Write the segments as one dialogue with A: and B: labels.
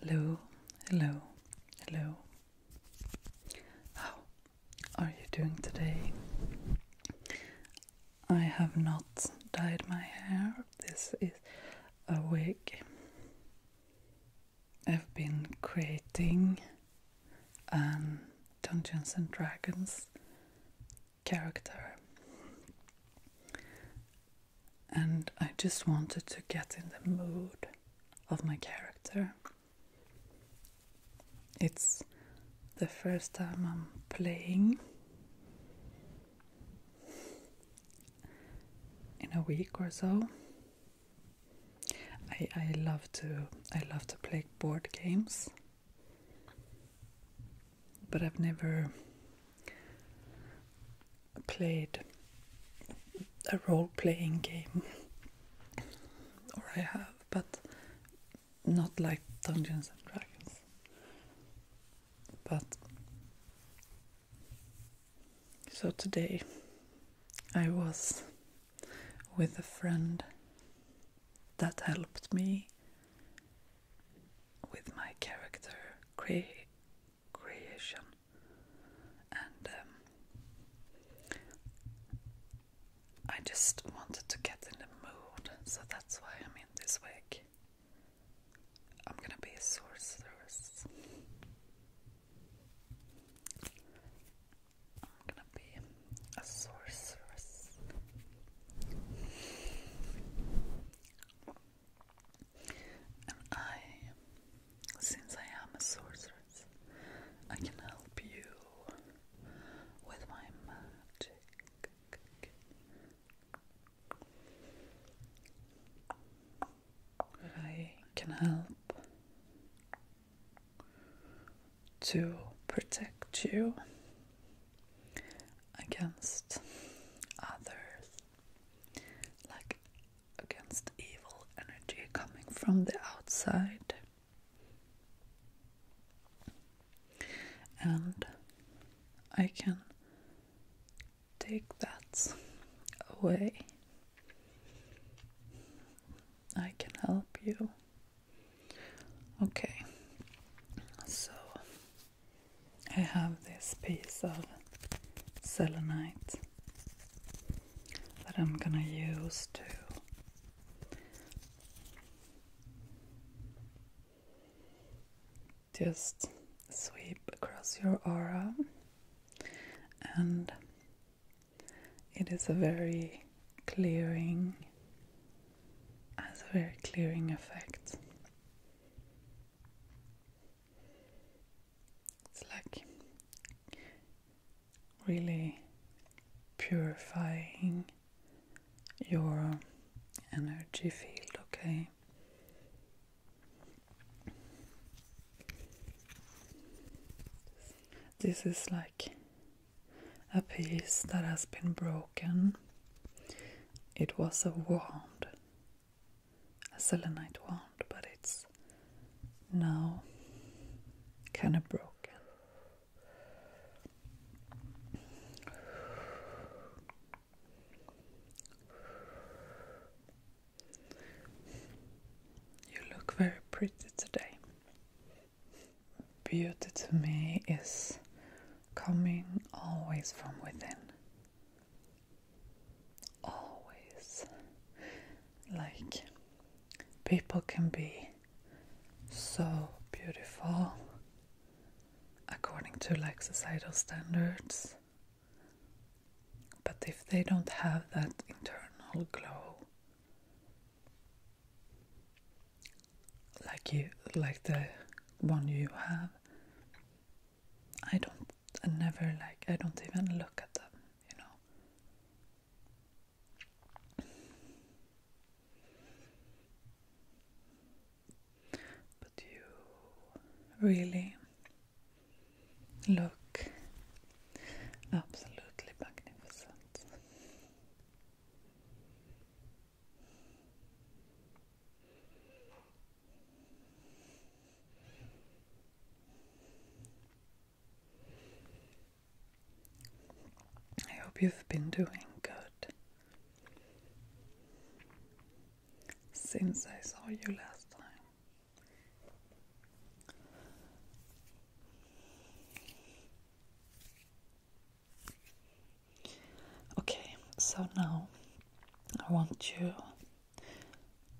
A: Hello, hello, hello. How are you doing today? I have not dyed my hair. This is a wig. I've been creating a um, Dungeons and Dragons character and I just wanted to get in the mood of my character. It's the first time I'm playing in a week or so. I, I love to I love to play board games, but I've never played a role playing game, or I have, but not like Dungeons and Dragons. But so today I was with a friend that helped me with my character create creation and um, I just wanted to get in the mood, so that's why I'm in this wig. I'm gonna be a sorceress. I'm gonna be a sorceress. And I, since I am a sorceress, I can help you with my magic. I can help to protect you against others like against evil energy coming from the outside. And I can take that away. I can help you. Okay, so I have this piece of selenite that I'm gonna use to just sweep across your aura and it is a very clearing has a very clearing effect it's like really purifying your energy field, okay? This is like a piece that has been broken. It was a wound a selenite wand, but it's now kind of broken. You look very pretty today. Beauty to me is coming always from within always like people can be so beautiful according to like societal standards but if they don't have that internal glow like you like the one you have I don't, I never like, I don't even look at them, you know. But you really look absolutely magnificent. I hope you've been doing good since I saw you last time. Okay, so now I want you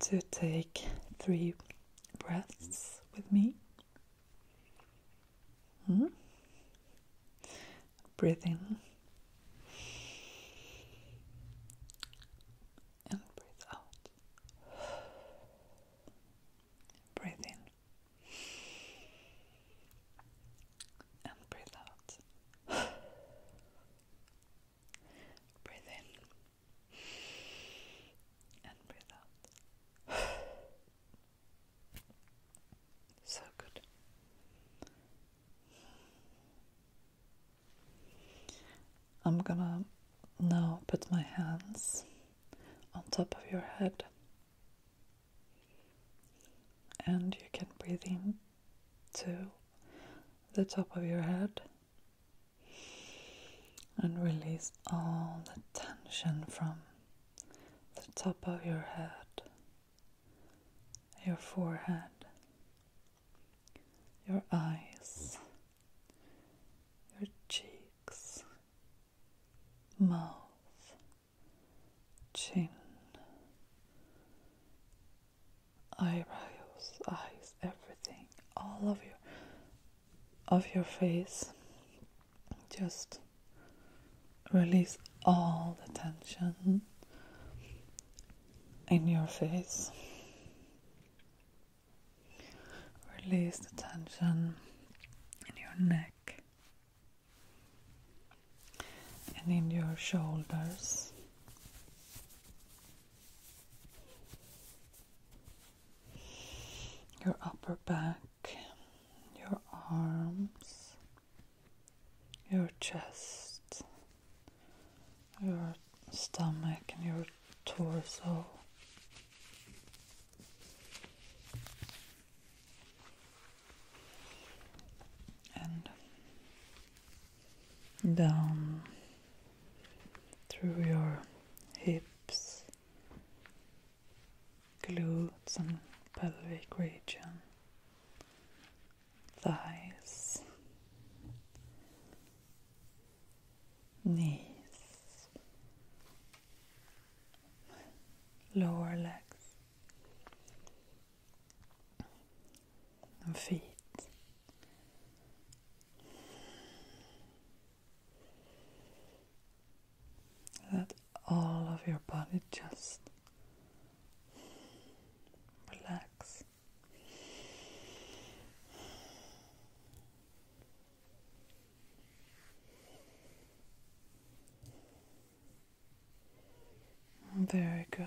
A: to take three breaths with me. Hmm? Breathe in and breathe out. Breathe in and breathe out. Breathe in and breathe out. so good. I'm gonna now put my hands on top of your head, and you can breathe in too the top of your head and release all the tension from the top of your head, your forehead, your eyes, your cheeks, mouth, chin, eyebrows, eyes, everything, all of your of your face. Just release all the tension in your face. Release the tension in your neck and in your shoulders. Your upper back, your arms, your chest, your stomach, and your torso. And down through your hips, glutes, and pelvic region, thighs, knees, lower legs, and feet. Let all of your body just relax. Very good.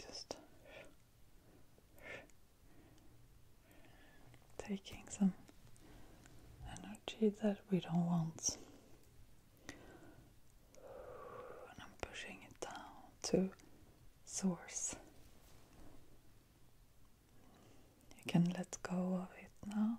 A: Just taking some energy that we don't want. I'm pushing it down to source. You can let go of it now.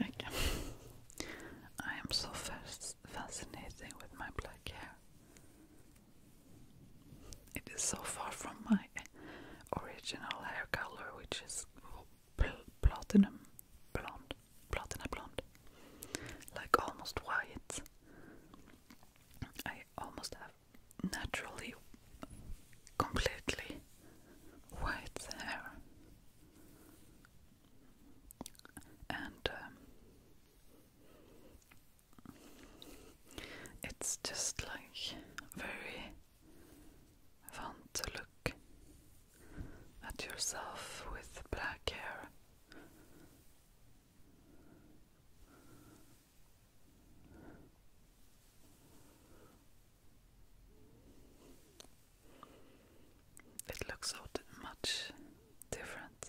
A: Okay. I am so fast fascinating with my black hair. It is so far from my original hair color, which is platinum blonde, platinum blonde, like almost white. I almost have naturally completely white hair and um, it's just like very fun to look at yourself with black hair it looks so much different.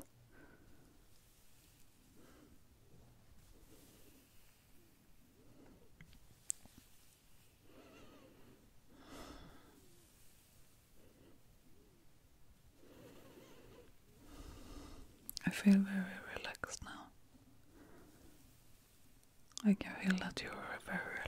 A: I feel very relaxed now. I can feel that you are very relaxed.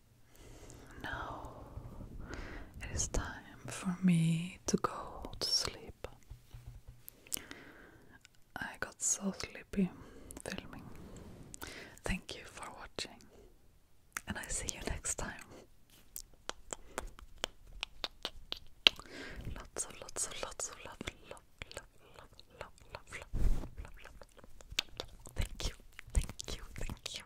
A: Now it is time for me to go to sleep. I got so sleepy filming. Thank you for watching, and I see you next time. Lots of, lots of, lots of love, love, love, love, love, love, love, love, love, love. Thank you, thank you, thank you.